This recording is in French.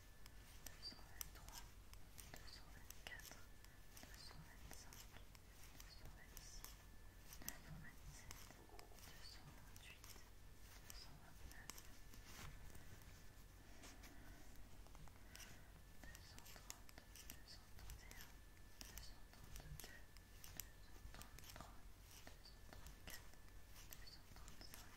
Deux cent vingt-trois, deux cent vingt-quatre. Deux cent vingt